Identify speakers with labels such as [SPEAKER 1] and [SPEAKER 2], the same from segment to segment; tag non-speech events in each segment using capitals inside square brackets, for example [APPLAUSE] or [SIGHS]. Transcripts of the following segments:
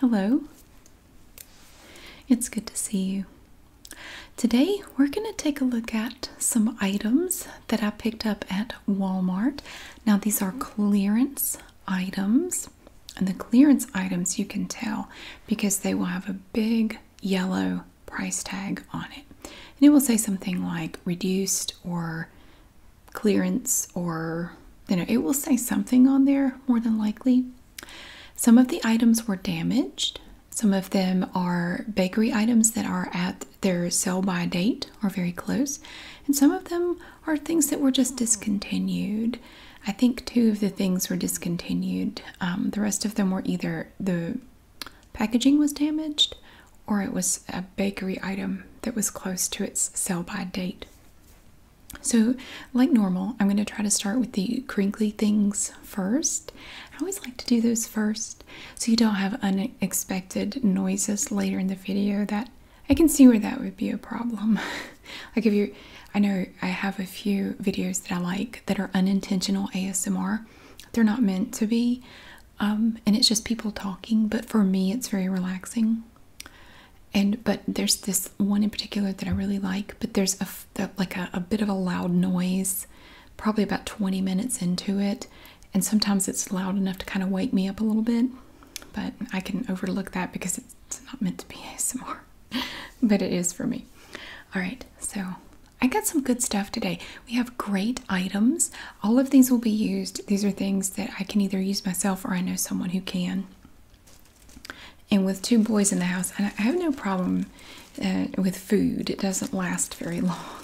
[SPEAKER 1] Hello. It's good to see you. Today, we're going to take a look at some items that I picked up at Walmart. Now, these are clearance items, and the clearance items you can tell because they will have a big yellow price tag on it. And it will say something like reduced or clearance or you know it will say something on there more than likely some of the items were damaged some of them are bakery items that are at their sell by date or very close and some of them are things that were just hmm. discontinued i think two of the things were discontinued um, the rest of them were either the packaging was damaged or it was a bakery item that was close to its sell by date so, like normal, I'm going to try to start with the crinkly things first. I always like to do those first so you don't have unexpected noises later in the video that I can see where that would be a problem. [LAUGHS] like if you I know I have a few videos that I like that are unintentional ASMR. They're not meant to be. Um, and it's just people talking, but for me, it's very relaxing and but there's this one in particular that I really like. But there's a, like a bit of a loud noise, probably about 20 minutes into it, and sometimes it's loud enough to kind of wake me up a little bit. But I can overlook that because it's not meant to be ASMR, [LAUGHS] but it is for me. All right, so I got some good stuff today. We have great items. All of these will be used. These are things that I can either use myself or I know someone who can. And with two boys in the house, I have no problem uh, with food, it doesn't last very long.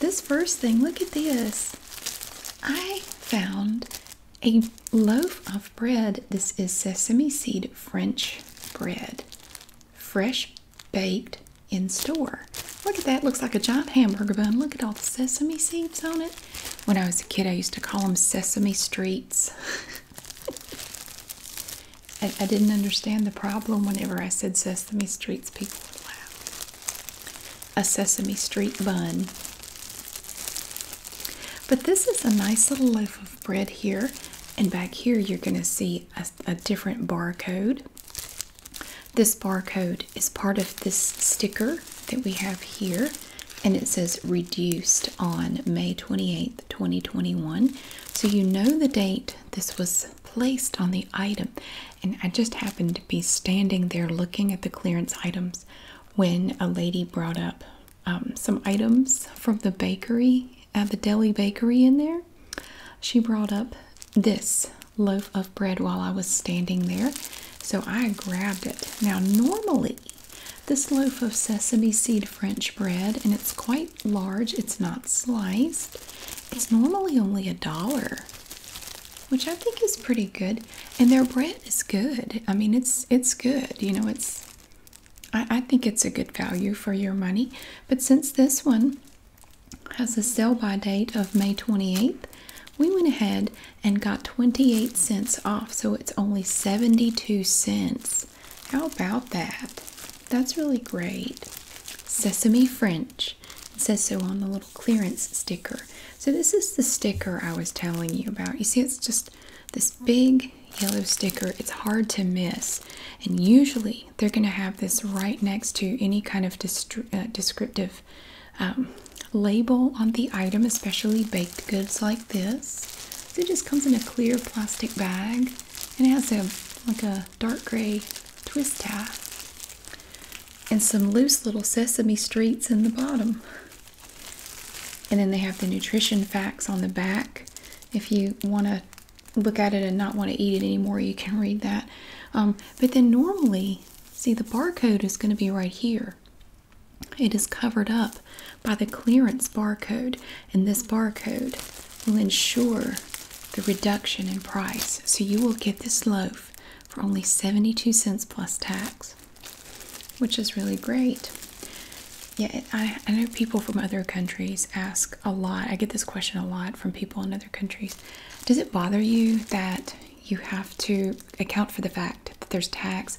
[SPEAKER 1] This first thing, look at this. I found a loaf of bread. This is sesame seed French bread, fresh baked in store. Look at that, looks like a giant hamburger bun. Look at all the sesame seeds on it. When I was a kid, I used to call them Sesame Streets. [LAUGHS] I, didn't understand the problem whenever I said Sesame Streets, people would laugh. A Sesame Street bun. But this is a nice little loaf of bread here, and back here you're going to see a different barcode. This barcode is part of this sticker that we have here, and it says reduced on May 28th, 2021. So you know the date this was placed on the item. And I just happened to be standing there looking at the clearance items when a lady brought up um, some items from the bakery, at uh, the deli bakery in there. She brought up this loaf of bread while I was standing there, so I grabbed it. Now, normally, this loaf of sesame seed French bread, and it's quite large, it's not sliced, it's normally only a dollar. Which I think is pretty good, and their bread is good. I mean, it's it's good. You know, it's I think it's a good value for your money. But since this one has a sell by date of May 28th, we went ahead and got 28 cents off, so it's only 72 cents. How about that? That's really great. Sesame French it says so on the little clearance sticker. So, this is the sticker I was telling you about. You see, it's just this big yellow sticker, it's hard to miss, and usually they're going to have this right next to any kind of uh, descriptive um, label on the item, especially baked goods like this. So it just comes in a clear plastic bag and it has a like a dark gray twist tie and some loose little sesame streets in the bottom. And then they have the nutrition facts on the back. If you want to look at it and not want to eat it anymore, you can read that. Um, but then normally, see the barcode is going to be right here. It is covered up by the clearance barcode, and this barcode will ensure the reduction in price. So you will get this loaf for only 72 cents plus tax, which is really great. Yeah, I know people from other countries ask a lot. I get this question a lot from people in other countries. Does it bother you that you have to account for the fact that there's tax.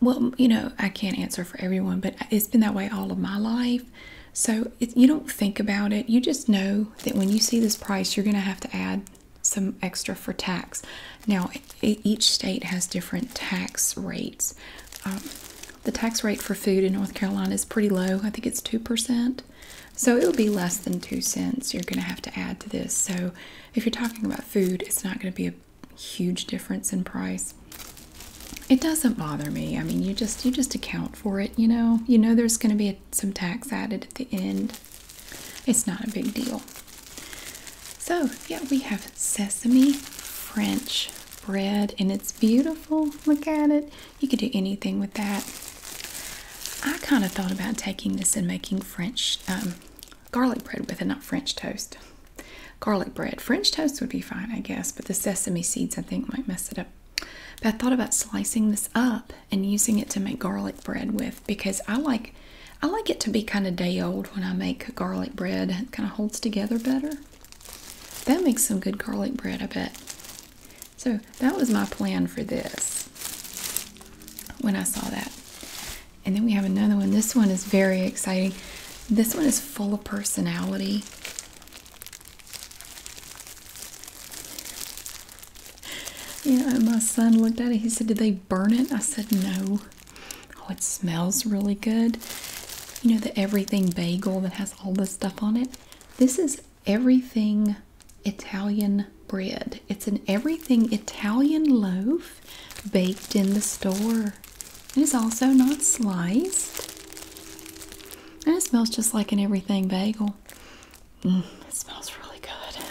[SPEAKER 1] Well, you know, I can't answer for everyone, but it's been that way all of my life. So you don't think about it. You just know that when you see this price, you're going to have to add some extra for tax. Now, each state has different tax rates. Um, the tax rate for food in North Carolina is pretty low. I think it's 2%. So it'll be less than 2 cents you're going to have to add to this. So if you're talking about food, it's not going to be a huge difference in price. It doesn't bother me. I mean, you just you just account for it, you know. You know there's going to be some tax added at the end. It's not a big deal. So, yeah, we have sesame French bread and it's beautiful. Look at it. You could do anything with that. I kind of thought about taking this and making French um, garlic bread with it, not French toast. Garlic bread. French toast would be fine, I guess, but the sesame seeds I think might mess it up. But I thought about slicing this up and using it to make garlic bread with because I like I like it to be kind of day old when I make garlic bread. It kind of holds together better. That makes some good garlic bread, I bet. So that was my plan for this when I saw that. And then we have another one. This one is very exciting. This one is full of personality. You know, my son looked at it. He said, Did they burn it? I said, No. Oh, it smells really good. You know, the everything bagel that has all this stuff on it? This is everything Italian bread. It's an everything Italian loaf baked in the store. It is also not sliced. And it smells just like an everything bagel. Mm, it smells really good.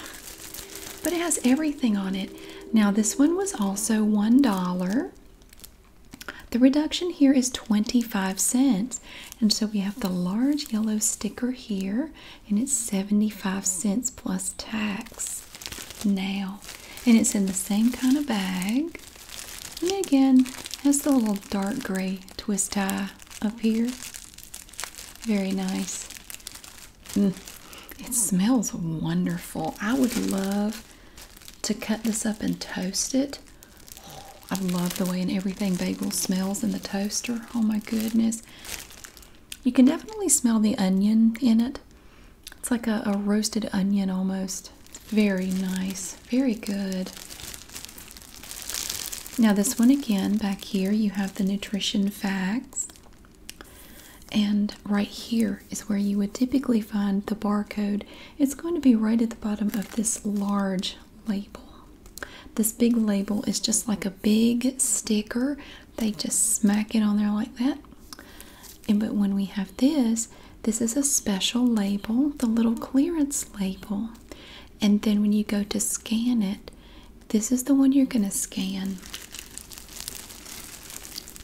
[SPEAKER 1] But it has everything on it. Now, this one was also $1. The reduction here is 25 cents. And so we have the large yellow sticker here and it's 75 cents plus tax now. And it's in the same kind of bag. And again, has the little dark gray twist tie up here. Very nice. Mm, it smells wonderful. I would love to cut this up and toast it. I love the way and everything bagel smells in the toaster. Oh my goodness. You can definitely smell the onion in it. It's like a, roasted onion almost. Very nice. Very good. Now, this one again, back here, you have the nutrition facts. And right here is where you would typically find the barcode. It's going to be right at the bottom of this large label. This big label is just like a big sticker. They just smack it on there like that. but when we have this, this is a special label, the little clearance label. And then when you go to scan it, this is the one you're going to scan.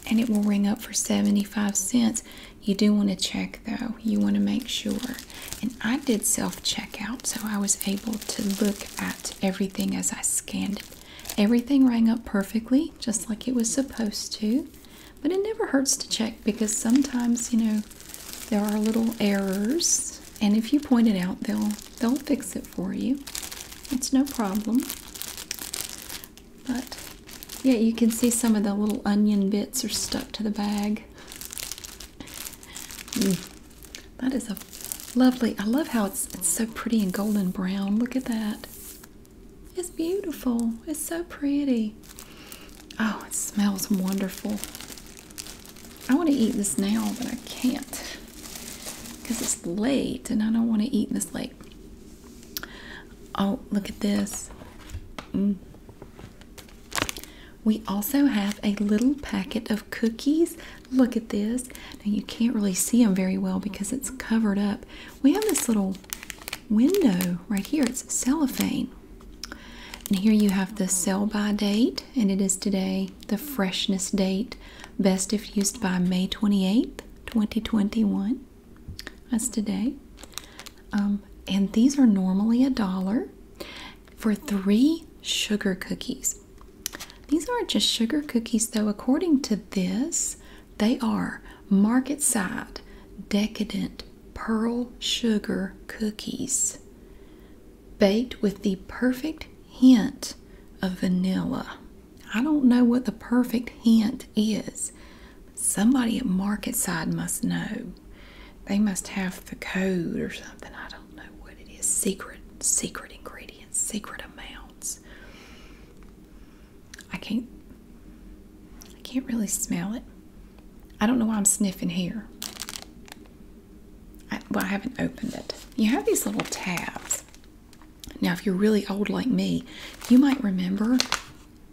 [SPEAKER 1] And it will ring up for 75 cents. You do want to check though. You want to make sure. And I did self checkout, so I was able to look at everything as I scanned it. Everything rang up perfectly, just like it was supposed to, but it never hurts to check because sometimes, you know, there are little errors, and if you point it out, they'll they'll fix it for you. It's no problem. But yeah, you can see some of the little onion bits are stuck to the bag. Mm. That is a lovely, I love how it's, so pretty and golden brown. Look at that. It's beautiful. It's so pretty. Oh, it smells wonderful. I want to eat this now, but I can't because it's late and I don't want to eat this late. Oh, look at this. Mm. We also have a little packet of cookies Look at this. Now you can't really see them very well because it's covered up. We have this little window right here. It's cellophane. And here you have the sell by date, and it is today the freshness date, best if used by May 28th, 2021. That's today. Um, and these are normally a dollar for three sugar cookies. These aren't just sugar cookies, though. According to this, they are market side decadent pearl sugar cookies baked with the perfect hint of vanilla. I don't know what the perfect hint is. Somebody at Market Side must know. They must have the code or something. I don't don't know what it is secret secret ingredients secret amounts I can't I can't really smell it I don't know why I'm sniffing here I, well I haven't opened it you have these little tabs now if you're really old like me you might remember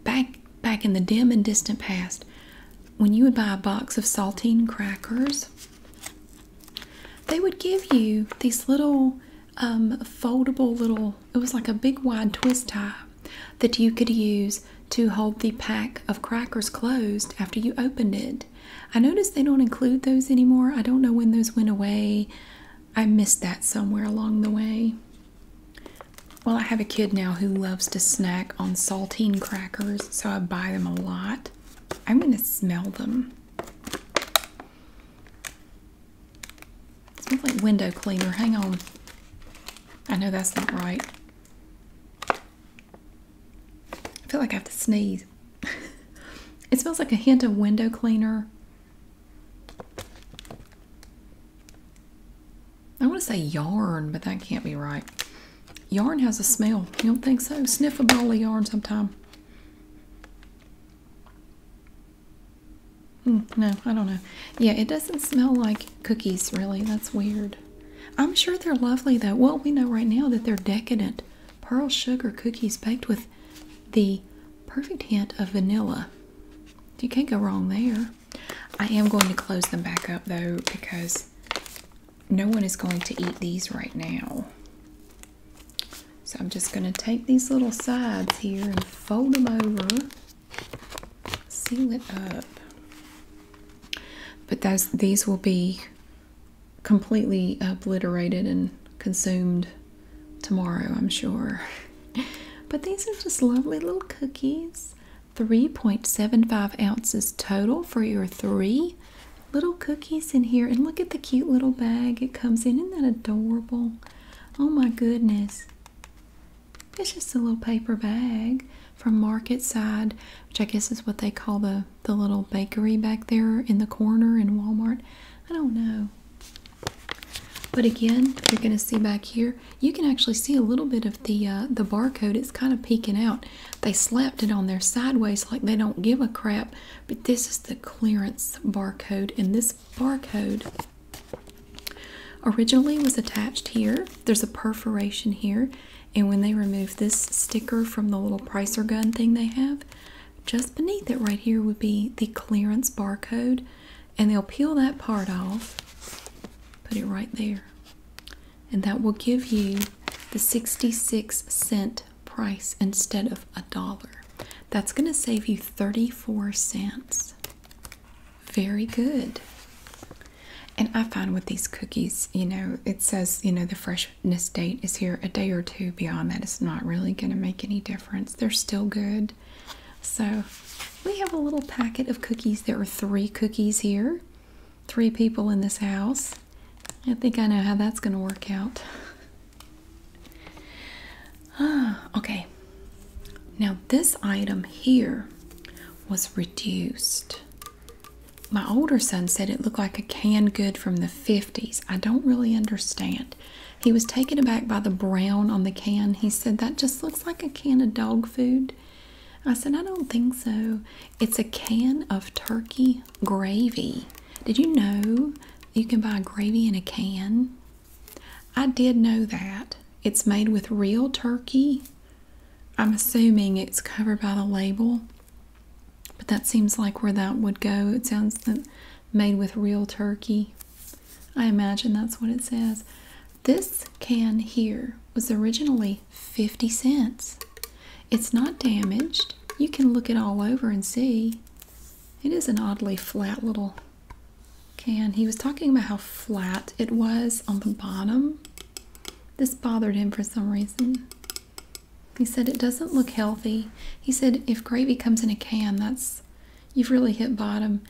[SPEAKER 1] back back in the dim and distant past when you would buy a box of saltine crackers they would give you these little um, foldable little, it was like a big wide twist tie that you could use to hold the pack of crackers closed after you opened it. I notice they don't include those anymore. I don't know when those went away. I missed that somewhere along the way. Well, I have a kid now who loves to snack on saltine crackers, so I buy them a lot. I'm going to smell them. It smells like window cleaner. Hang on. I know that's not right. I feel like I have to sneeze. [LAUGHS] it smells like a hint of window cleaner. I want to say yarn, but that can't be right. Yarn has a smell. You don't think so? Sniff a ball of yarn sometime. Mm, no, I don't know. Yeah, it doesn't smell like cookies, really. That's weird. I'm sure they're lovely, though. Well, we know right now that they're decadent pearl sugar cookies baked with the perfect hint of vanilla. You can't go wrong there. I am going to close them back up, though, because no one is going to eat these right now. So I'm just going to take these little sides here and fold them over, seal it up. But those, these will be completely obliterated and consumed tomorrow, I'm sure. [LAUGHS] But these are just lovely little cookies. 3.75 ounces total for your three little cookies in here. And look at the cute little bag it comes in. Isn't that adorable? Oh my goodness. It's just a little paper bag from Market Side, which I guess is what they call the, the little bakery back there in the corner in Walmart. I don't know. But again, you're going to see back here, you can actually see a little bit of the uh, the barcode. It's kind of peeking out. They slapped it on there sideways like they don't give a crap. But this is the clearance barcode, and this barcode originally was attached here. There's a perforation here, and when they remove this sticker from the little pricer gun thing they have, just beneath it right here would be the clearance barcode, and they'll peel that part off, put it right there, and that will give you the 66 cent price instead of a dollar. That's going to save you 34 cents. Very good. And I find with these cookies, you know, it says, you know, the freshness date is here a day or two beyond that. It's not really going to make any difference. They're still good. So we have a little packet of cookies. There are three cookies here three people in this house. I think I know how that's going to work out. Ah, okay. Now, this item here was reduced. My older son said it looked like a canned good from the 50s. I don't really understand. He was taken aback by the brown on the can. He said, That just looks like a can of dog food. I said, I don't think so. It's a can of turkey gravy. Did you know you can buy gravy in a can? I did know that. It's made with real turkey. I'm assuming it's covered by the label, but that seems like where that would go. It sounds made with real turkey. I imagine that's what it says. This can here was originally 50 cents. It's not damaged. You can look it all over and see. It is an oddly flat little can. He was talking about how flat it was on the bottom. This bothered him for some reason. He said it doesn't look healthy. He said if gravy comes in a can, that's you've really hit bottom.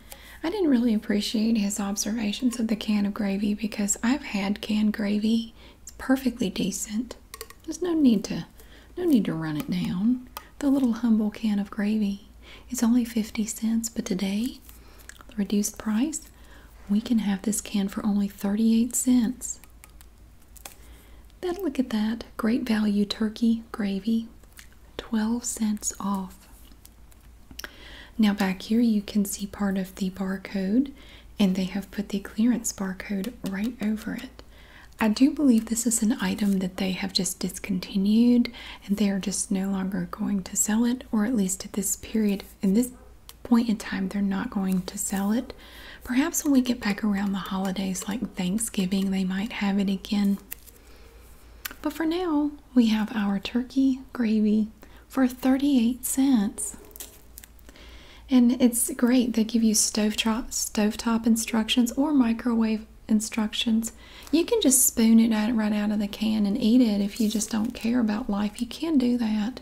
[SPEAKER 1] I didn't really appreciate his observations of the can of gravy because I've had canned gravy. It's perfectly decent. There's no need to no need to run it down. The little humble can of gravy. It's only 50 cents, but today, the reduced price, we can have this can for only 38 cents. Then look at that. Great value turkey gravy. 12 cents off. Now back here you can see part of the barcode and they have put the clearance barcode right over it. I do believe this is an item that they have just discontinued and they are just no longer going to sell it, or at least at this period, in this point in time, they're not going to sell it. Perhaps when we get back around the holidays like Thanksgiving, they might have it again. But for now, we have our turkey gravy for 38 cents. And it's great. They give you stovetop, stovetop instructions or microwave instructions. You can just spoon it right out of the can and eat it if you just don't care about life. You can do that.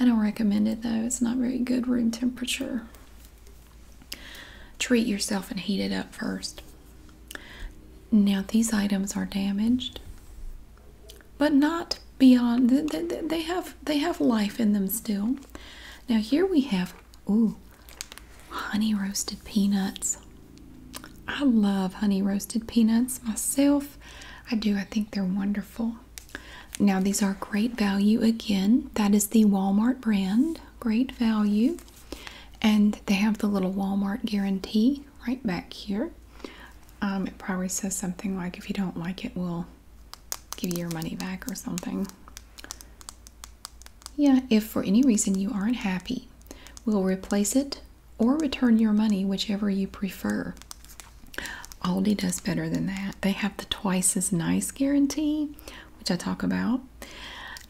[SPEAKER 1] I don't recommend it though. It's not very good room temperature. Treat yourself and heat it up first. Now, these items are damaged, but not beyond they have they have life in them still. Now here we have ooh honey roasted peanuts. I love honey roasted peanuts myself. I do. I think they're wonderful. Now these are great value again. That is the Walmart brand. Great value. And they have the little Walmart guarantee right back here. Um, it probably says something like if you don't like it, we'll give you your money back or something. Yeah, if for any reason you aren't happy, we'll replace it or return your money, whichever you prefer. Aldi does better than that. They have the twice as nice guarantee, which I talk about.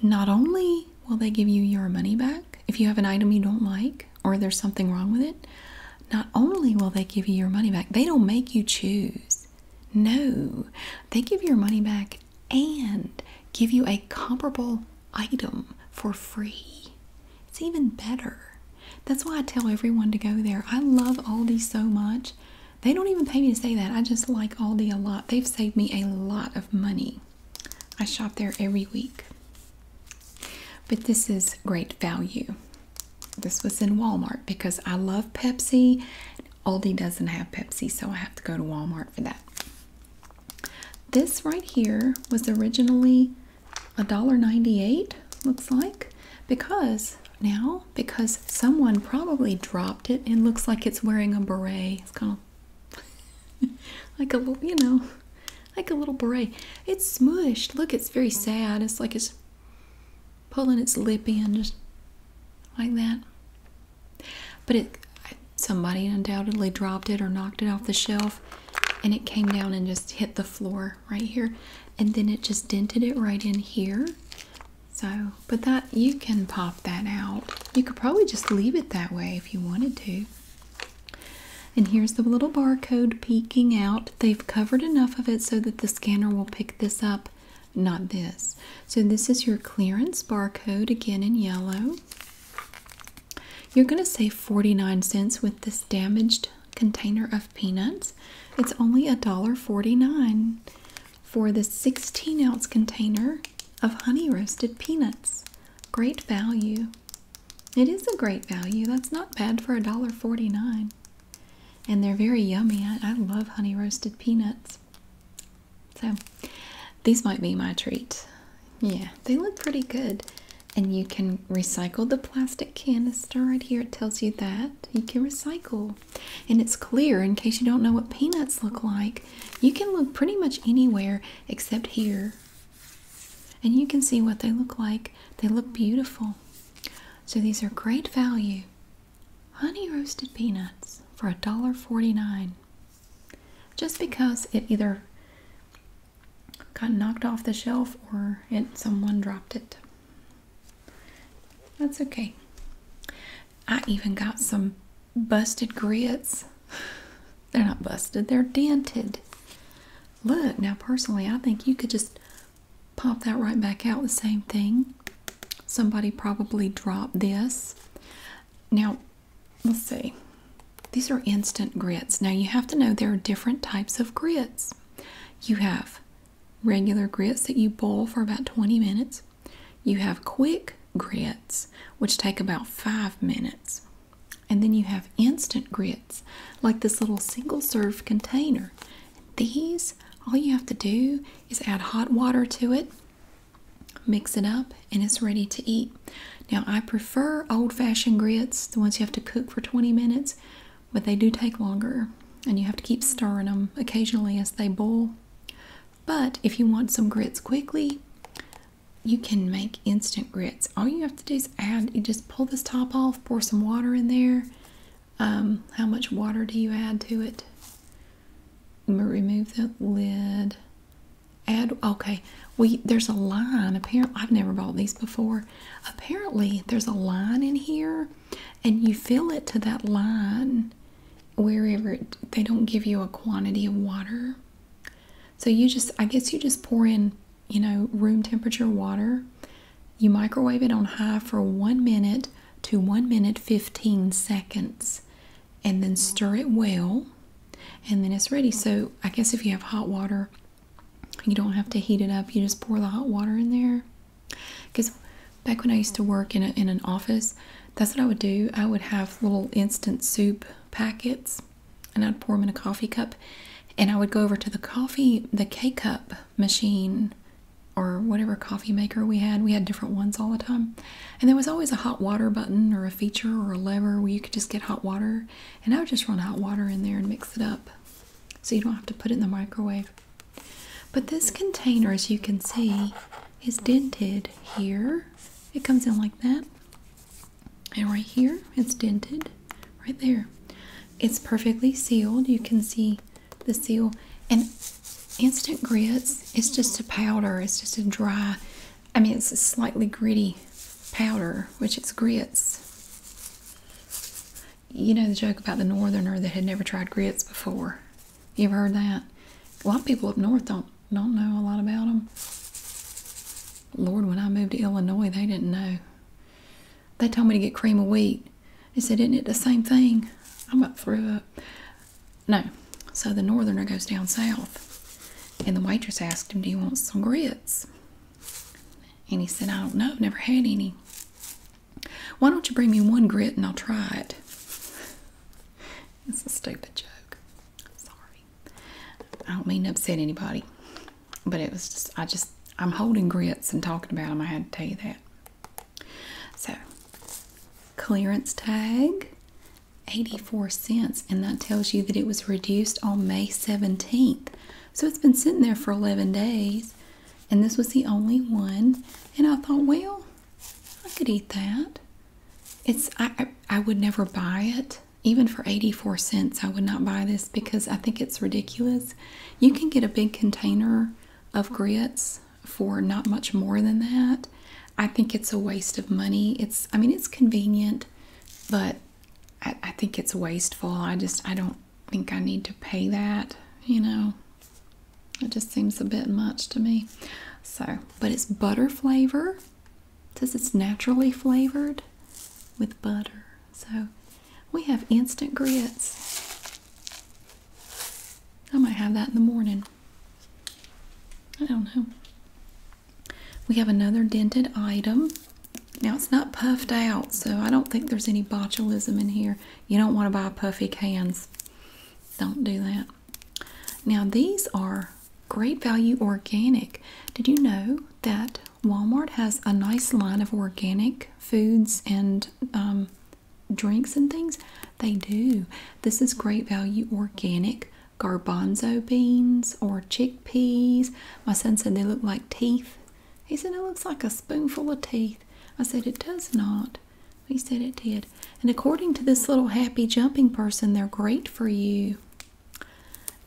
[SPEAKER 1] Not only will they give you your money back if you have an item you don't like or there's something wrong with it, not only will they give you your money back, they don't make you choose. No, they give you your money back and give you a comparable item for free. It's even better. That's why I tell everyone to go there. I love Aldi so much. They don't even pay me to say that. I just like Aldi a lot. They've saved me a lot of money. I shop there every week. But this is great value. This was in Walmart because I love Pepsi. Aldi doesn't have Pepsi, so I have to go to Walmart for that. This right here was originally $1.98, looks like, because now, because someone probably dropped it and looks like it's wearing a beret. It's kind of [LAUGHS] like a little, you know, like a little beret. It's smushed. Look, it's very sad. It's like it's pulling its lip in just like that. But it, somebody undoubtedly dropped it or knocked it off the shelf and it came down and just hit the floor right here. And then it just dented it right in here. So, but that, you can pop that out. You could probably just leave it that way if you wanted to. And here's the little barcode peeking out they've covered enough of it so that the scanner will pick this up, not this. So this is your clearance barcode again in yellow. You're going to save 49 cents with this damaged container of peanuts. It's only a dollar forty nine for the 16 ounce container of honey roasted peanuts. Great value. It is a great value. That's not bad for a dollar forty nine and they're very yummy. I, love honey roasted peanuts. So these might be my treat. Yeah, they look pretty good. And you can recycle the plastic canister right here. It tells you that. You can recycle. And it's clear in case you don't know what peanuts look like. You can look pretty much anywhere except here. And you can see what they look like. They look beautiful. So these are great value. Honey roasted peanuts for $1.49. Just because it either got knocked off the shelf or it someone dropped it. That's okay. I even got some busted grits. [LAUGHS] They're not busted, they're dented. Look, now personally, I think you could just Pop that right back out, the same thing. Somebody probably dropped this. Now, let's see. These are instant grits. Now, you have to know there are different types of grits. You have regular grits that you boil for about 20 minutes, you have quick grits, which take about five minutes. And then you have instant grits, like this little single serve container. These, all you have to do is add hot water to it, mix it up, and it's ready to eat. Now, I prefer old fashioned grits, the ones you have to cook for 20 minutes, but they do take longer and you have to keep stirring them occasionally as they boil. But if you want some grits quickly, you can make instant grits. All you have to do is add, you just pull this top off, pour some water in there, um, how much water do you add to it? Remove the lid. Add okay. We there's a line. Apparently, I've never bought these before. Apparently, there's a line in here, and you fill it to that line wherever they don't give you a quantity of water. So you just I guess you just pour in you know room temperature water you microwave it on high for one minute to one minute 15 seconds and then stir it well and then it's ready. So, I guess if you have hot water, you don't have to heat it up, you just pour the hot water in there. Because back when I used to work in, in an office, that's what I would do. I would have little instant soup packets and I'd pour them in a coffee cup and I would go over to the coffee, the K cup machine or whatever coffee maker we had. We had different ones all the time. And there was always a hot water button or a feature or a lever where you could just get hot water. And I would just run hot water in there and mix it up so you don't have to put it in the microwave. But this container, as you can see, is dented here. It comes in like that. And right here, it's dented right there. It's perfectly sealed. You can see the seal. And instant grits, it's just a powder. It's just a dry, I mean, it's a slightly gritty powder, which is grits. You know the joke about the northerner that had never tried grits before. You ever heard that? A lot of people up north don't don't know a lot about them. Lord, when I moved to Illinois, they didn't know. They told me to get cream of wheat. He said, Isn't it the same thing? I'm up through up. No. So the northerner goes down south. And the waitress asked him, Do you want some grits? And he said, I don't know, never had any. Why don't you bring me one grit and I'll try it? It's a stupid joke. Sorry. I don't mean to upset anybody. But it was just, I just, I'm holding grits and talking about them. I had to tell you that. So, clearance tag 84 cents, and that tells you that it was reduced on May 17th. So, it's been sitting there for 11 days, and this was the only one. And I thought, well, I could eat that. It's I, I would never buy it even for 84 cents. I would not buy this because I think it's ridiculous you can get a big container of grits for not much more than that. I think it's a waste of money. It's, I mean, it's convenient, but I, think it's wasteful. I just, I don't think I need to pay that, you know. It just seems a bit much to me. So, but it's butter flavor. says it's naturally flavored with butter. So, we have instant grits. I might have that in the morning. I don't know. We have another dented item. Now it's not puffed out, so I don't think there's any botulism in here. You don't want to buy puffy cans. Don't do that. Now these are great value organic. Did you know that Walmart has a nice line of organic foods and um, drinks and things. They do. This is great value organic garbanzo beans or chickpeas. My son said they look like teeth. He said it looks like a spoonful of teeth. I said it does not. He said it did. And according to this little happy jumping person, they're great for you.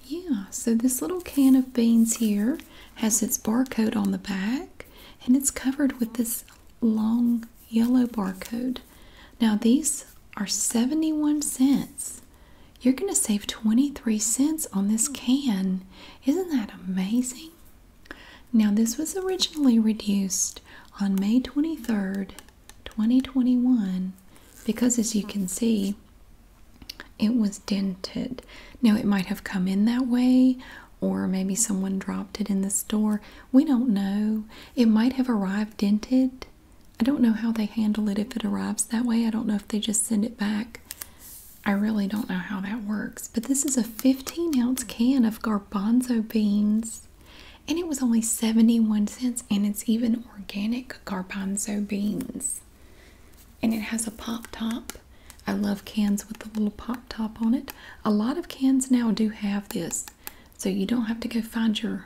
[SPEAKER 1] Yeah, so this little can of beans here has its barcode on the back and it's covered with this long yellow barcode. Now these are 71 cents. You're going to save 23 cents on this can. Isn't that amazing? Now this was originally reduced on May 23rd, 2021 because as you can see it was dented. Now it might have come in that way or maybe someone dropped it in the store. We don't know. It might have arrived dented. I don't know how they handle it if it arrives that way. I don't know if they just send it back. I really don't know how that works. But this is a 15 ounce can of garbanzo beans. And it was only 71 cents, and it's even organic garbanzo beans and it has a pop top. I love cans with a little pop top on it. A lot of cans now do have this, so you don't have to go find your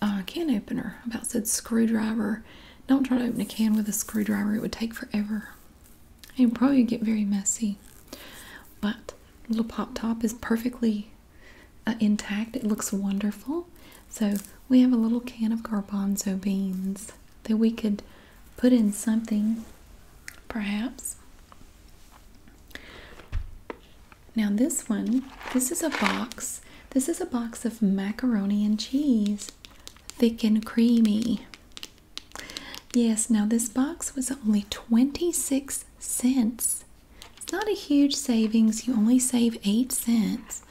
[SPEAKER 1] uh, can opener. about said screwdriver. Don't try to open a can with a screwdriver, it would take forever. and probably get very messy. But little pop top is perfectly uh, intact. It looks wonderful. So we have a little can of garbanzo beans that we could put in something, perhaps. Now, this one, this is a box. This is a box of macaroni and cheese, thick and creamy. Yes, now this box was only 26 cents. It's not a huge savings, you only save 8 cents.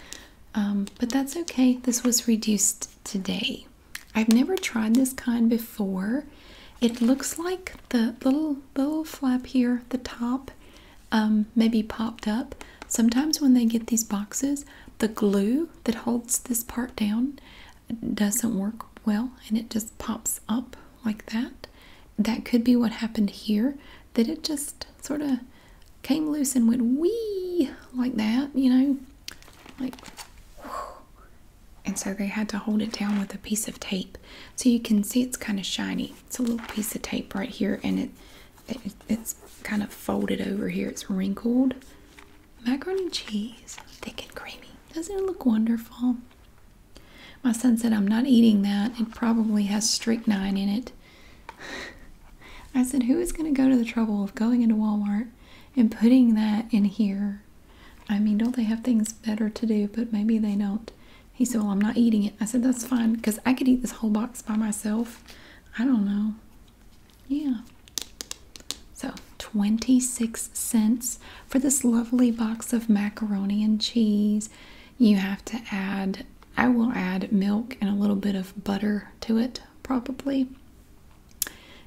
[SPEAKER 1] Um, but that's okay, this was reduced today. I've never tried this kind before. It looks like the little little flap here, at the top, um, maybe popped up. Sometimes when they get these boxes, the glue that holds this part down doesn't work well, and it just pops up like that. That could be what happened here. That it just sort of came loose and went wee like that, you know like and so they had to hold it down with a piece of tape so you can see it's kind of shiny it's a little piece of tape right here and it, it's kind of folded over here it's wrinkled macaroni and cheese thick and creamy doesn't it look wonderful my son said i'm not eating that it probably has strychnine in it [LAUGHS] i said who is going to go to the trouble of going into walmart and putting that in here. I mean, don't they have things better to do? But maybe they don't. He said, Well, I'm not eating it. I said, That's fine because I could eat this whole box by myself. I don't know. Yeah. So, 26 cents for this lovely box of macaroni and cheese. You have to add, I will add milk and a little bit of butter to it, probably.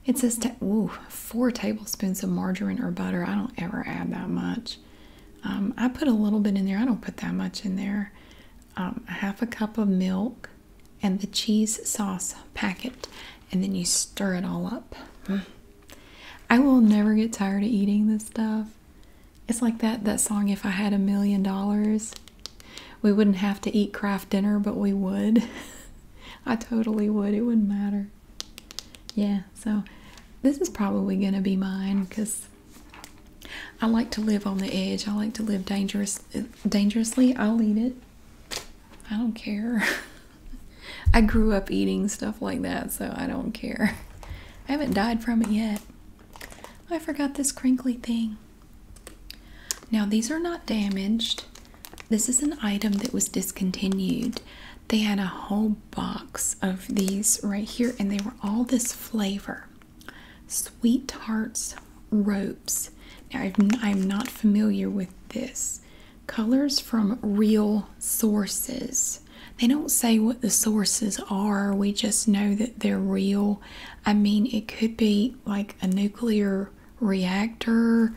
[SPEAKER 1] It says four tablespoons of margarine or butter. I don't ever add that much. Um, I put a little bit in there. I don't put that much in there. Um, half a cup of milk and the cheese sauce packet, and then you stir it all up. Mm. I will never get tired of eating this stuff. It's like that that song. If I had a million dollars, we wouldn't have to eat Kraft dinner, but we would. [LAUGHS] I totally would. It wouldn't matter. Yeah, so this is probably going to be mine because I like to live on the edge. I like to live dangerous, dangerously. I'll eat it. I don't care. [LAUGHS] I grew up eating stuff like that, so I don't care. I haven't died from it yet. I forgot this crinkly thing. Now, these are not damaged. This is an item that was discontinued. They had a whole box of these right here, and they were all this flavor Sweet Tarts Ropes. Now, I'm not familiar with this. Colors from real sources. They don't say what the sources are, we just know that they're real. I mean, it could be like a nuclear reactor.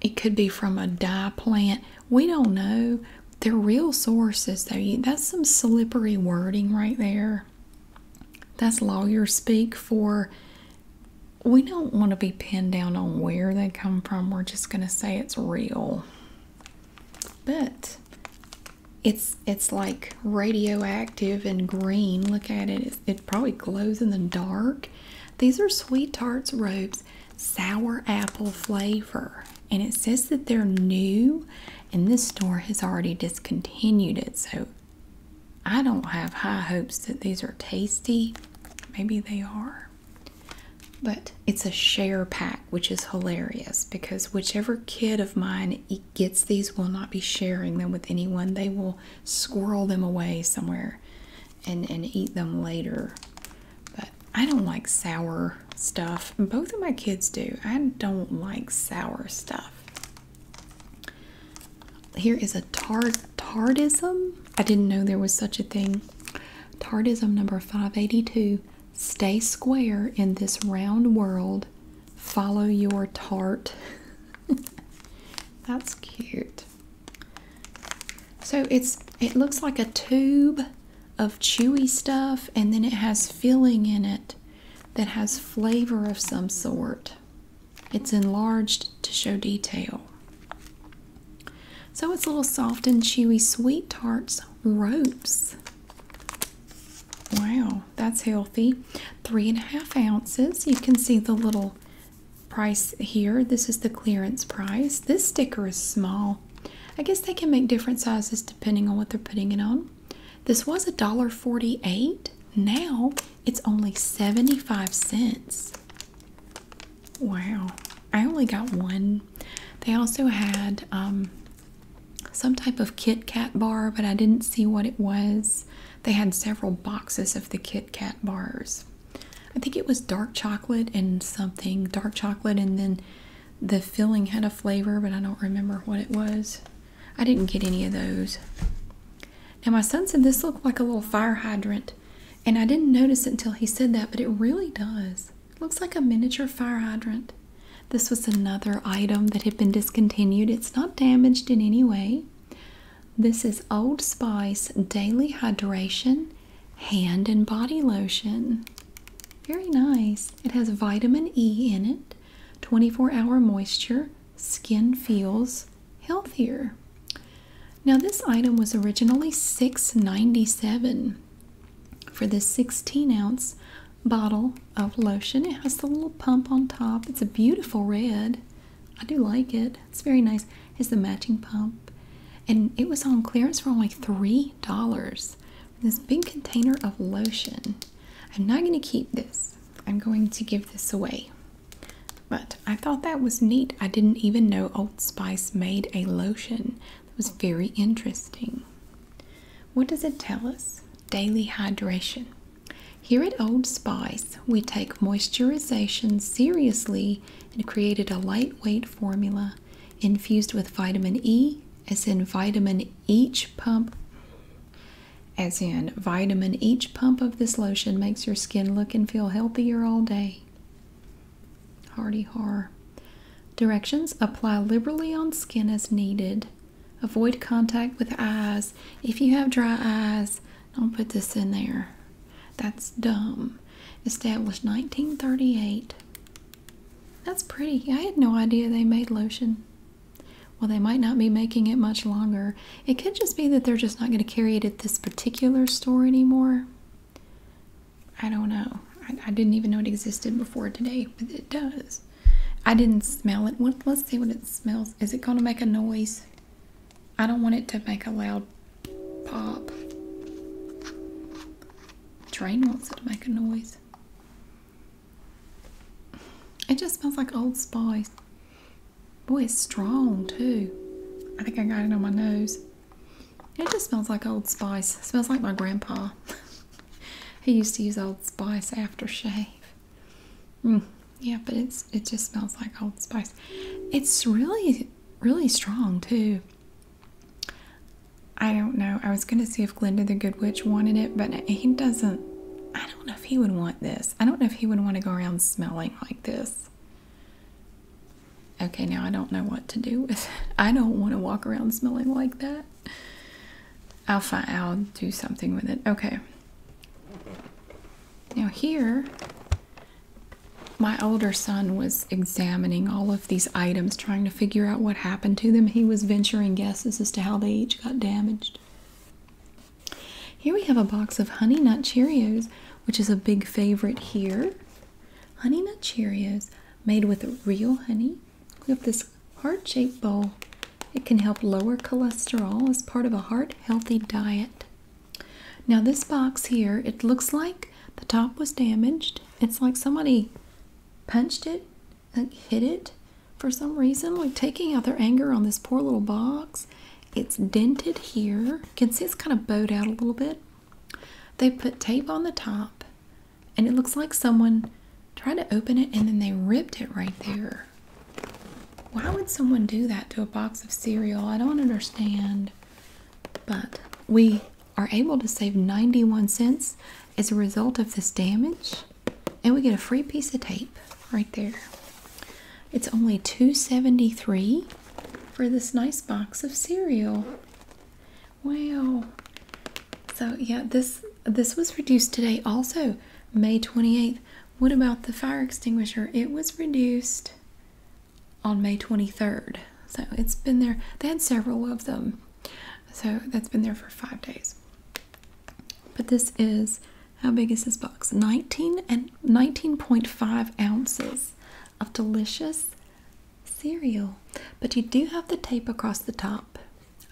[SPEAKER 1] It could be from a dye plant. We don't know. They're real sources, though. That's some slippery wording right there. That's lawyer speak for we don't want to be pinned down on where they come from. We're just going to say it's real. But it's it's like radioactive and green. Look at it. It probably glows in the dark. These are Sweet Tarts Ropes Sour Apple Flavor. And it says that they're new, and this store has already discontinued it. So I don't have high hopes that these are tasty. Maybe they are. But it's a share pack, which is hilarious because whichever kid of mine gets these will not be sharing them with anyone. They will squirrel them away somewhere and and eat them later. But I don't like sour stuff. Both of my kids do. I don't like sour stuff. Here is a tart tardism. I didn't know there was such a thing. Tardism number 582. Stay square in this round world. Follow your tart. [LAUGHS] That's cute. So it's it looks like a tube of chewy stuff and then it has filling in it that has flavor of some sort. It's enlarged to show detail. So it's little soft and chewy sweet tarts ropes. Wow, that's healthy. Three and a half ounces. You can see the little price here. This is the clearance price. This sticker is small. I guess they can make different sizes depending on what they're putting it on. This was a dollar forty-eight. Now it's only 75 cents. Wow. I only got one. They also had um, some type of Kit Kat bar, but I didn't see what it was. They had several boxes of the Kit Kat bars. I think it was dark chocolate and something, dark chocolate, and then the filling had a flavor, but I don't remember what it was. I didn't get any of those. Now, my son said this looked like a little fire hydrant, and I didn't notice it until he said that, but it really does. It looks like a miniature fire hydrant. This was another item that had been discontinued. It's not damaged in any way. This is Old Spice Daily Hydration Hand and Body Lotion. Very nice. It has vitamin E in it, 24 hour moisture, skin feels healthier. Now, this item was originally $6.97 for this 16 ounce bottle of lotion. It has the little pump on top, it's a beautiful red. I do like it. It's very nice. It's the matching pump. And it was on clearance for only $3. This big container of lotion. I'm not going to keep this. I'm going to give this away. But I thought that was neat. I didn't even know Old Spice made a lotion. That was very interesting. What does it tell us? Daily hydration. Here at Old Spice, we take moisturization seriously and created a lightweight formula infused with vitamin E, as in vitamin each pump. As in, vitamin each pump of this lotion makes your skin look and feel healthier all day. Hardy har. Directions apply liberally on skin as needed. Avoid contact with eyes. If you have dry eyes, don't put this in there. That's dumb. Established 1938. That's pretty. I had no idea they made lotion. Well, they might not be making it much longer. It could just be that they're just not going to carry it at this particular store anymore. I don't know. I, I didn't even know it existed before today, but it does. I didn't smell it. Let's see what it smells. Is it going to make a noise? I don't want it to make a loud pop. Train wants it to make a noise. It just smells like Old Spice. Boy, it's strong too. I think I got it on my nose. It just smells like Old Spice. smells like my grandpa. [LAUGHS] he used to use Old Spice aftershave. Mm, yeah, but it's it just smells like Old Spice. It's really really strong too. I don't know. I was gonna see if Glinda the Good Witch wanted it, but he doesn't. I don't know if he would want this. I don't know if he would want to go around smelling like this. Okay, now I don't know what to do with. I don't want to walk around smelling like that. I'll find. I'll do something with it. Okay. Now, here, my older son was examining all of these items, trying to figure out what happened to them. He was venturing guesses as to how they each got damaged. Here we have a box of Honey Nut Cheerios, which is a big favorite here. Honey Nut Cheerios made with real honey. We have this heart shaped bowl it can help lower cholesterol as part of a heart healthy diet. Now, this box here, it looks like the top was damaged. It's like somebody punched it, like hit it for some reason, like taking out their anger on this poor little box. It's dented here. You can see it's kind of bowed out a little bit. They put tape on the top, and it looks like someone tried to open it and then they ripped it right there. Why would someone do that to a box of cereal? I don't understand. But we are able to save 91 cents as a result of this damage, and we get a free piece of tape right there. It's only 273 for this nice box of cereal. Wow. So yeah, this this was reduced today also, May 28th. What about the fire extinguisher? It was reduced on May 23rd. So it's been there. They had several of them. So that's been there for five days. But this is how big is this box? 19 and 19.5 ounces of delicious cereal. But you do have the tape across the top.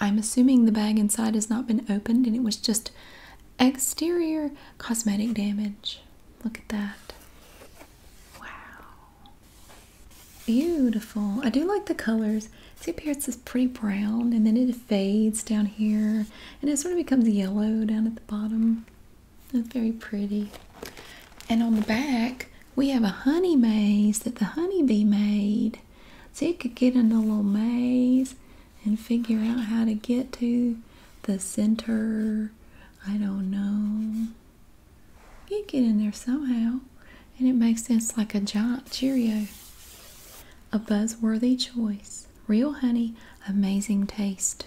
[SPEAKER 1] I'm assuming the bag inside has not been opened and it was just Exterior cosmetic damage. Look at that. Wow. Beautiful. I do like the colors. See up here it says pretty brown and then it fades down here and it sort of becomes yellow down at the bottom. very pretty. And on the back we have a honey maze that the honeybee made. So you could get in a little maze and figure out how to get to the center. I don't know. You get in there somehow, and it makes sense like a giant Cheerio. A buzzworthy choice. Real honey, amazing taste.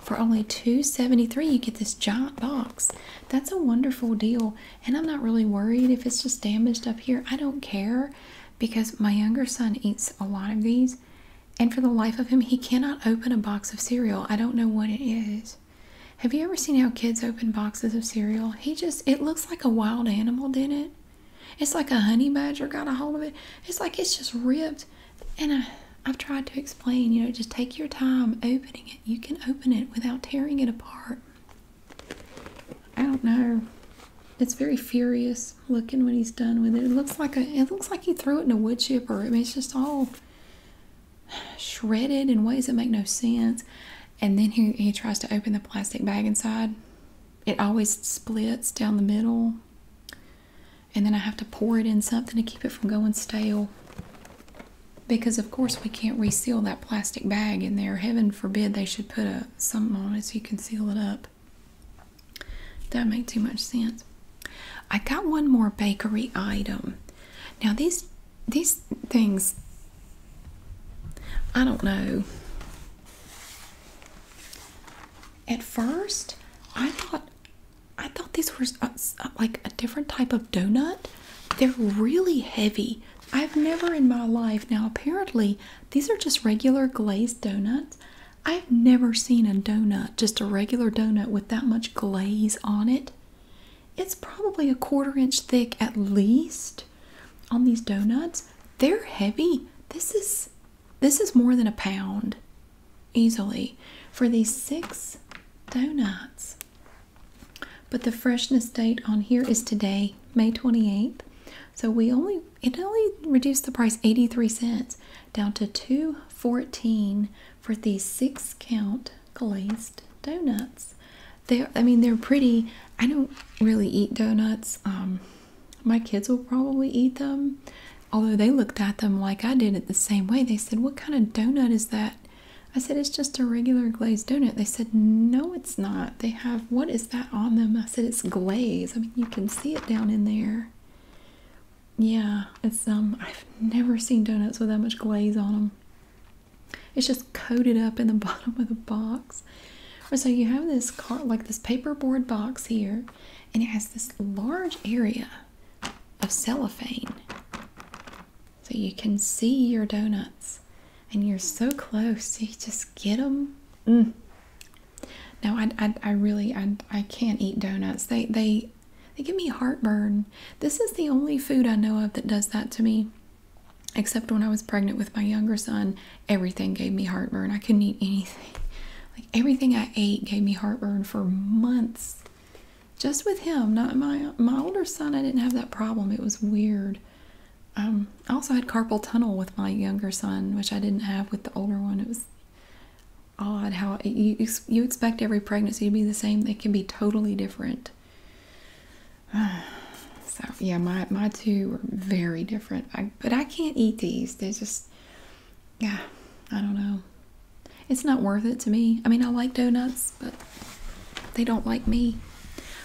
[SPEAKER 1] For only two seventy-three, you get this giant box. That's a wonderful deal, and I'm not really worried if it's just damaged up here. I don't care because my younger son eats a lot of these, and for the life of him, he cannot open a box of cereal. I don't know what it is. Have you ever seen how kids open boxes of cereal? He just, it looks like a wild animal, didn't it? It's like a honey badger got a hold of it. It's like it's just ripped. And I, I've tried to explain, you know, just take your time opening it. You can open it without tearing it apart. I don't know. It's very furious looking when he's done with it. It looks like a it looks like he threw it in a wood chipper. I mean it's just all shredded in ways that make no sense. And then he he tries to open the plastic bag inside. It always splits down the middle. And then I have to pour it in something to keep it from going stale. Because of course we can't reseal that plastic bag in there. Heaven forbid they should put a something on it so you can seal it up. That make too much sense. I got one more bakery item. Now these these things I don't know. At first, I thought I thought these were uh, uh, like a different type of donut. They're really heavy. I've never in my life now apparently these are just regular glazed donuts. I've never seen a donut, just a regular donut with that much glaze on it. It's probably a quarter inch thick at least on these donuts. They're heavy. This is this is more than a pound easily for these six donuts. But the freshness date on here is today, May 28th. So we only it only reduced the price 83 cents down to 214 for these six count glazed donuts. They I mean they're pretty. I don't really eat donuts. Um my kids will probably eat them. Although they looked at them like I did it the same way. They said, "What kind of donut is that?" I said, "It's just a regular glazed donut." They said, "No, it's not. They have what is that on them? I said it's glaze. I mean, you can see it down in there. Yeah, it's um. I've never seen donuts with that much glaze on them. It's just coated up in the [LAUGHS] bottom of the box. So you have this cart, like this paperboard box here, and it has this large area of cellophane. So you can see your donuts, and you're so close. You just get them. Mm. No, I, I, I really, I, I can't eat donuts. They, they, they give me heartburn. This is the only food I know of that does that to me. Except when I was pregnant with my younger son, everything gave me heartburn. I couldn't eat anything. Like everything I ate gave me heartburn for months. Just with him, not my my older son, I didn't have that problem. It was weird. Um, I also had carpal tunnel with my younger son, which I didn't have with the older one. It was odd how you you expect every pregnancy to be the same. They can be totally different. [SIGHS] so yeah, my my two were very different. but I can't eat these. They're just yeah. I don't know. It's not worth it to me. I mean, I like donuts, but they don't like me.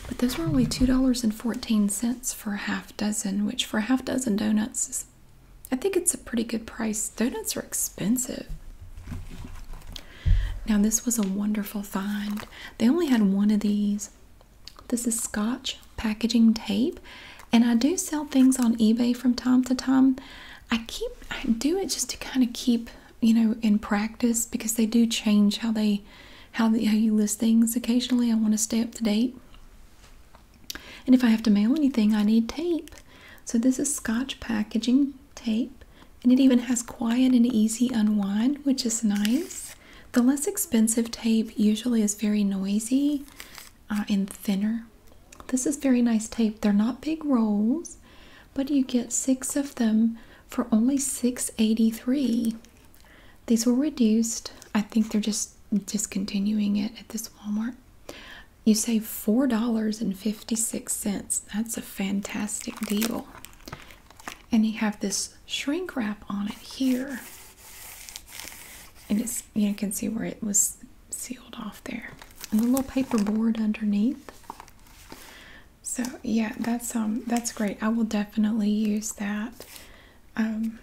[SPEAKER 1] But those were only two dollars and fourteen cents for a half dozen, which for a half dozen donuts I think it's a pretty good price. Donuts are expensive. Now this was a wonderful find. They only had one of these. This is Scotch packaging tape, and I do sell things on eBay from time to time. I keep I do it just to kind of keep, you know, in practice because they do change how they how, you list things. Occasionally, I want to stay up to date. And if I have to mail anything, I need tape. So this is Scotch packaging tape, and it even has quiet and easy unwind, which is nice. The less expensive tape usually is very noisy uh, and thinner. This is very nice tape. They're not big rolls, but you get six of them for only six eighty three. These were reduced. I think they're just discontinuing it at this Walmart. You save $4.56. That's a fantastic deal. And you have this shrink wrap on it here. And it's you can see where it was sealed off there. And a little paper board underneath. So yeah, that's um that's great. I will definitely use that um,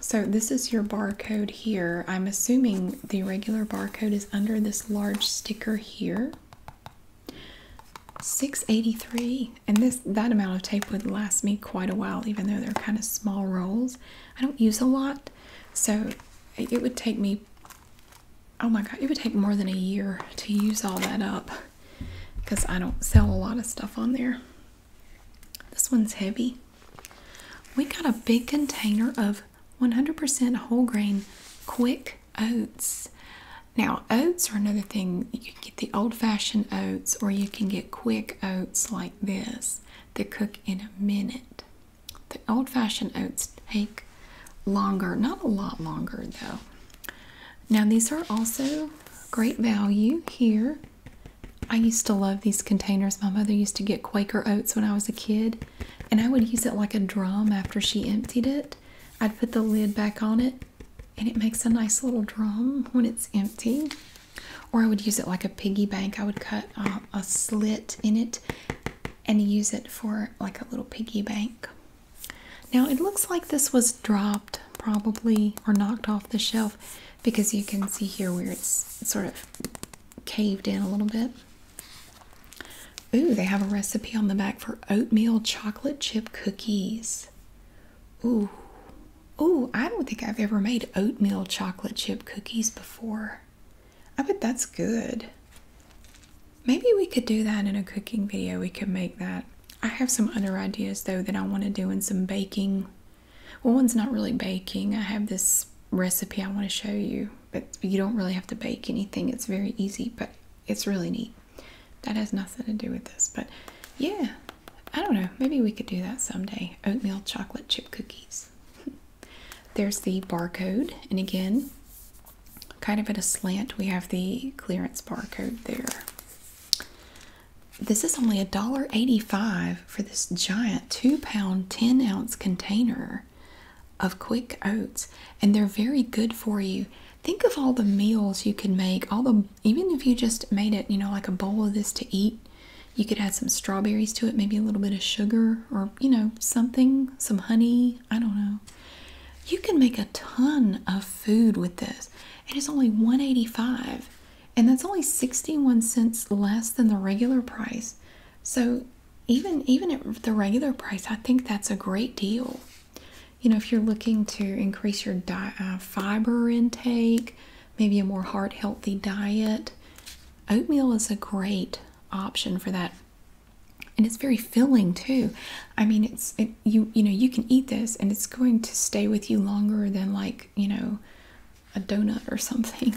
[SPEAKER 1] so this is your barcode here. I'm assuming the regular barcode is under this large sticker here. 683 and this that amount of tape would last me quite a while even though they're kind of small rolls. I don't use a lot so it would take me oh my god it would take more than a year to use all that up because I don't sell a lot of stuff on there. This one's heavy. We got a big container of 100% whole grain quick oats. Now, oats are another thing. You can get the old fashioned oats, or you can get quick oats like this that cook in a minute. The old fashioned oats take longer, not a lot longer though. Now, these are also great value here. I used to love these containers. My mother used to get Quaker oats when I was a kid, and I would use it like a drum after she emptied it. I'd put the lid back on it, and it makes a nice little drum when it's empty. Or I would use it like a piggy bank. I would cut uh, a slit in it and use it for like a little piggy bank. Now it looks like this was dropped probably or knocked off the shelf because you can see here where it's sort of caved in a little bit. Ooh, they have a recipe on the back for oatmeal chocolate chip cookies. Ooh. Ooh, I don't think I've ever made oatmeal chocolate chip cookies before. I bet that's good. Maybe we could do that in a cooking video. We could make that. I have some other ideas though that I want to do in some baking well, one's not really baking. I have this recipe I want to show you, but you don't really have to bake anything. It's very easy, but it's really neat. That has nothing to do with this, but yeah, I don't know. Maybe we could do that someday. Oatmeal chocolate chip cookies. [LAUGHS] There's the barcode, and again, kind of at a slant, we have the clearance barcode there. This is only a dollar eighty-five for this giant two pound, 10 ounce container of quick oats, and they're very good for you. Think of all the meals you could make, all the even if you just made it, you know, like a bowl of this to eat, you could add some strawberries to it, maybe a little bit of sugar or you know, something, some honey. I don't know. You can make a ton of food with this. It is only 185 and that's only 61 cents less than the regular price so even even at the regular price i think that's a great deal you know if you're looking to increase your uh, fiber intake maybe a more heart healthy diet oatmeal is a great option for that and it's very filling too i mean it's you you know you can eat this and it's going to stay with you longer than like you know a donut or something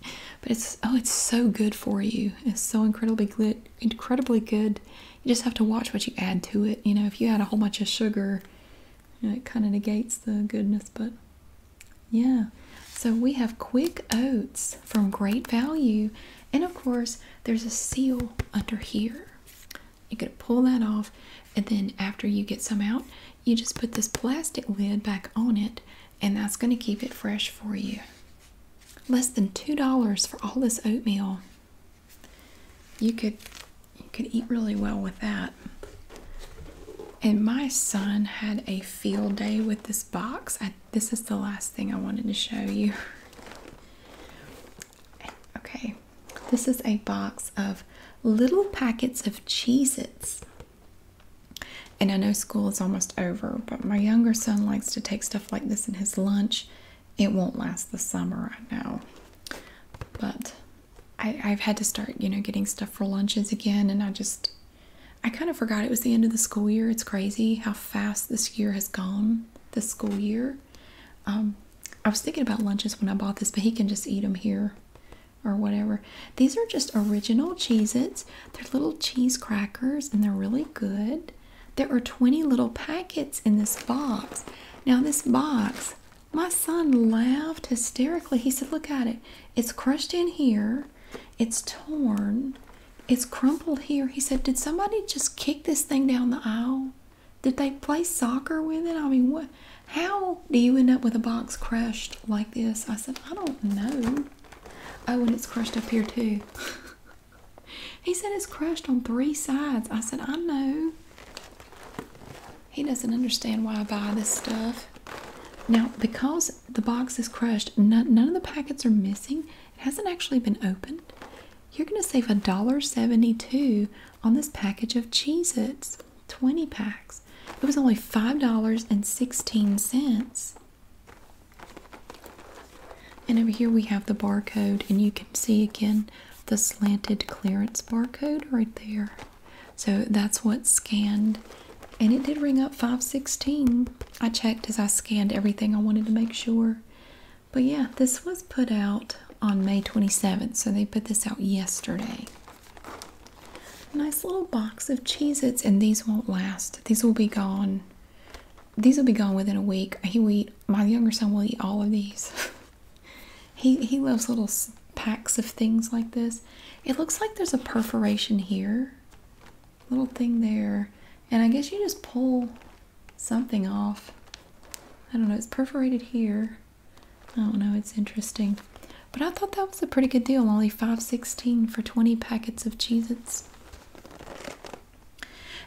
[SPEAKER 1] [LAUGHS] but it's oh it's so good for you it's so incredibly good incredibly good you just have to watch what you add to it you know if you add a whole bunch of sugar it kind of negates the goodness but yeah so we have quick oats from great value and of course there's a seal under here you're going to pull that off, and then after you get some out, you just put this plastic lid back on it, and that's going to keep it fresh for you. Less than $2 for all this oatmeal. You could you could eat really well with that. And my son had a field day with this box. this is the last thing I wanted to show you. [LAUGHS] Okay, this is a box of little packets of cheeses, And I know school is almost over, but my younger son likes to take stuff like this in his lunch. It won't last the summer, I know. But I, have had to start, you know, getting stuff for lunches again, and I just, I kind of forgot it was the end of the school year. It's crazy how fast this year has gone, this school year. Um, I was thinking about lunches when I bought this, but he can just eat them here or whatever. These are just original cheez They're little cheese crackers and they're really good. There are 20 little packets in this box. Now this box, my son laughed hysterically. He said, look at it. It's crushed in here. It's torn. It's crumpled here. He said, did somebody just kick this thing down the aisle? Did they play soccer with it? I mean, what? How do you end up with a box crushed like this? I said, I don't know. Oh, and it's crushed up here too. [LAUGHS] he said it's crushed on three sides. I said, I know. He doesn't understand why I buy this stuff. Now, because the box is crushed, none, none of the packets are missing. It hasn't actually been opened. You're going to save $1.72 on this package of Cheez Its, 20 packs. It was only $5.16. And over here we have the barcode, and you can see again the slanted clearance barcode right there. So that's what scanned. And it did ring up 516. I checked as I scanned everything, I wanted to make sure. But yeah, this was put out on May 27th, so they put this out yesterday. Nice little box of Cheez and these won't last. These will be gone. These will be gone within a week. He will eat, my younger son will eat all of these. [LAUGHS] he, he loves little packs of things like this. It looks like there's a perforation here, little thing there, and I guess you just pull something off. I don't know, it's perforated here. I oh, don't know. it's interesting. But I thought that was a pretty good deal, only five sixteen for twenty packets of Cheez Its.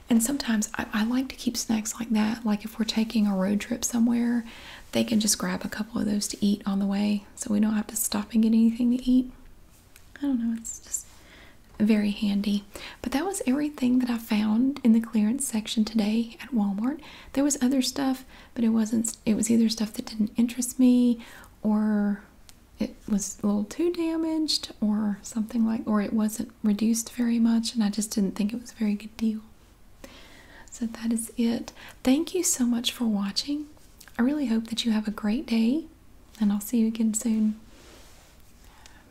[SPEAKER 1] And sometimes I like to keep snacks like that. Like if we're taking a road trip somewhere, they can just grab a couple of those to eat on the way so we don't have to stop and get anything to eat. I don't know, it's just very handy. But that was everything that I found in the clearance section today at Walmart there was other stuff but it wasn't it was either stuff that didn't interest me or it was a little too damaged or something like or it wasn't reduced very much and i just didn't think it was a very good deal so that is it thank you so much for watching i really hope that you have a great day and i'll see you again soon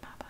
[SPEAKER 1] bye bye